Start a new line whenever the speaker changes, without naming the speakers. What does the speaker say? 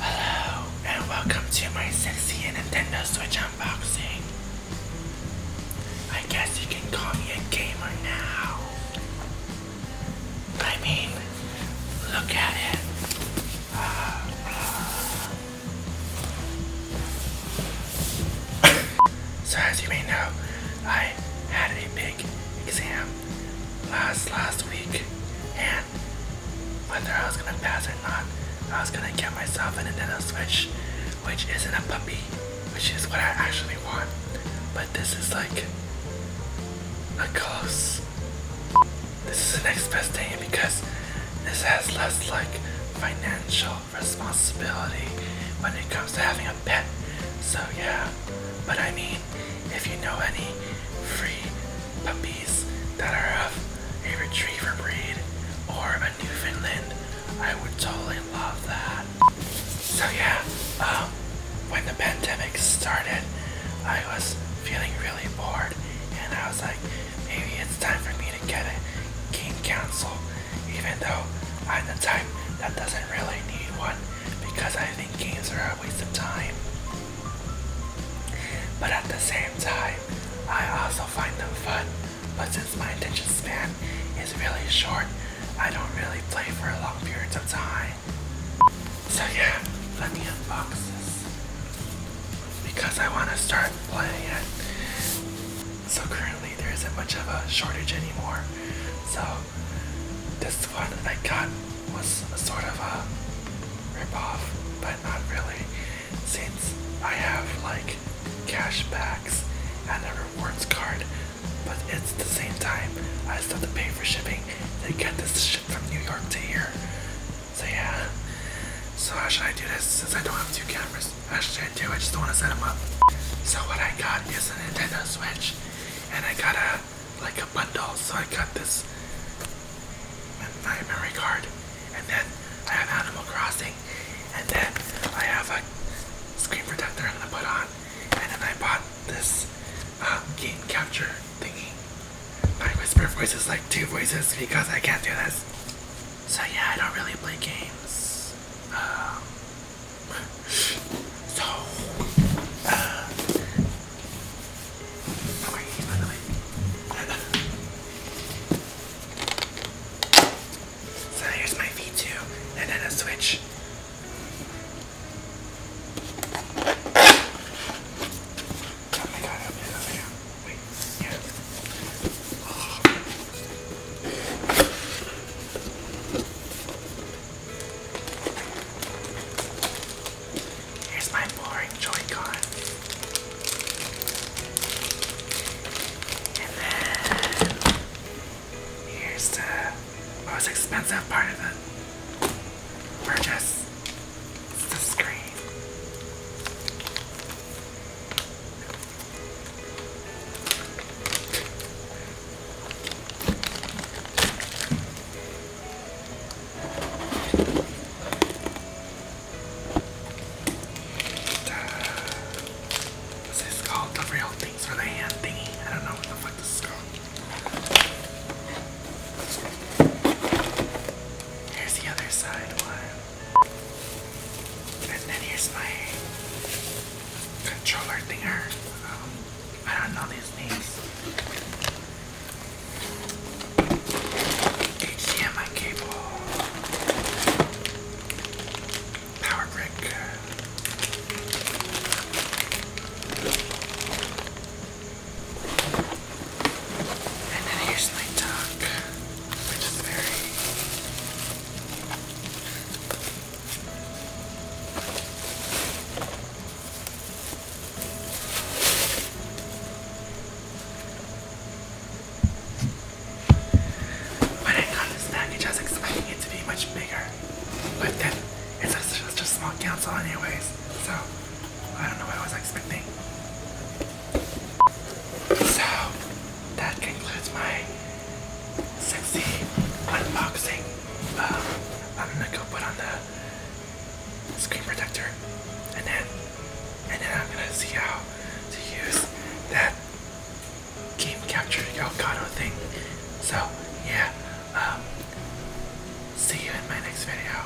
Hello, and welcome to my 6 Nintendo Switch unboxing. I guess you can call me a gamer now. I mean, look at it. so as you may know, I had a big exam last last week, and whether I was gonna pass or not, I was gonna get myself a Nintendo Switch, which isn't a puppy, which is what I actually want. But this is like a close. This is the next best thing because this has less like financial responsibility when it comes to having a pet. So yeah, but I mean, if you know any free puppies that are of a retriever breed or a Newfoundland, I would totally love that. So yeah, um, when the pandemic started, I was feeling really bored and I was like, maybe it's time for me to get a game council, even though I'm the type that doesn't really need one because I think games are a waste of time. But at the same time, I also find them fun. But since my attention span is really short, I don't really play for long periods of time. So yeah, let me unbox this. Because I want to start playing it. So currently there isn't much of a shortage anymore. So this one I got was sort of a ripoff, but not really, since I have like cash backs and a rewards card, but it's the same time I still have to pay for shipping They get this shipped from New York to here. So yeah. So how should I do this since I don't have two cameras? How should I do? I just don't want to set them up. So what I got is Nintendo Switch, and I got a like a bundle. So I got this memory card, and then I have Animal Crossing, and then I have a screen protector I'm gonna put on, and then I bought this um, game capture thingy. My whisper voice is like two voices because I can't do this. So yeah, I don't really play games. Um, so, uh, how are you, by the way? so here's my V2, and then a switch. Oh my god, open it up, yeah. Wait, yeah. Oh. Here's my boring Joy-Con. And then here's the most expensive part of the purchase. the screen. What's called? The real things for the hand thingy. I don't know what the fuck this is called. Here's the other side and then here's my controller thinger. Um, I don't know these names. HDMI cable. Power brick. And then here's my dog, which is very when I got this package, I was expecting it to be much bigger, but then it's just, just a small council, anyways. So I don't know what I was expecting. So, that concludes my sexy unboxing. I'm gonna go put on the screen protector and then and then I'm gonna see how to use that game capture Elgato thing. So yeah, um, see you in my next video.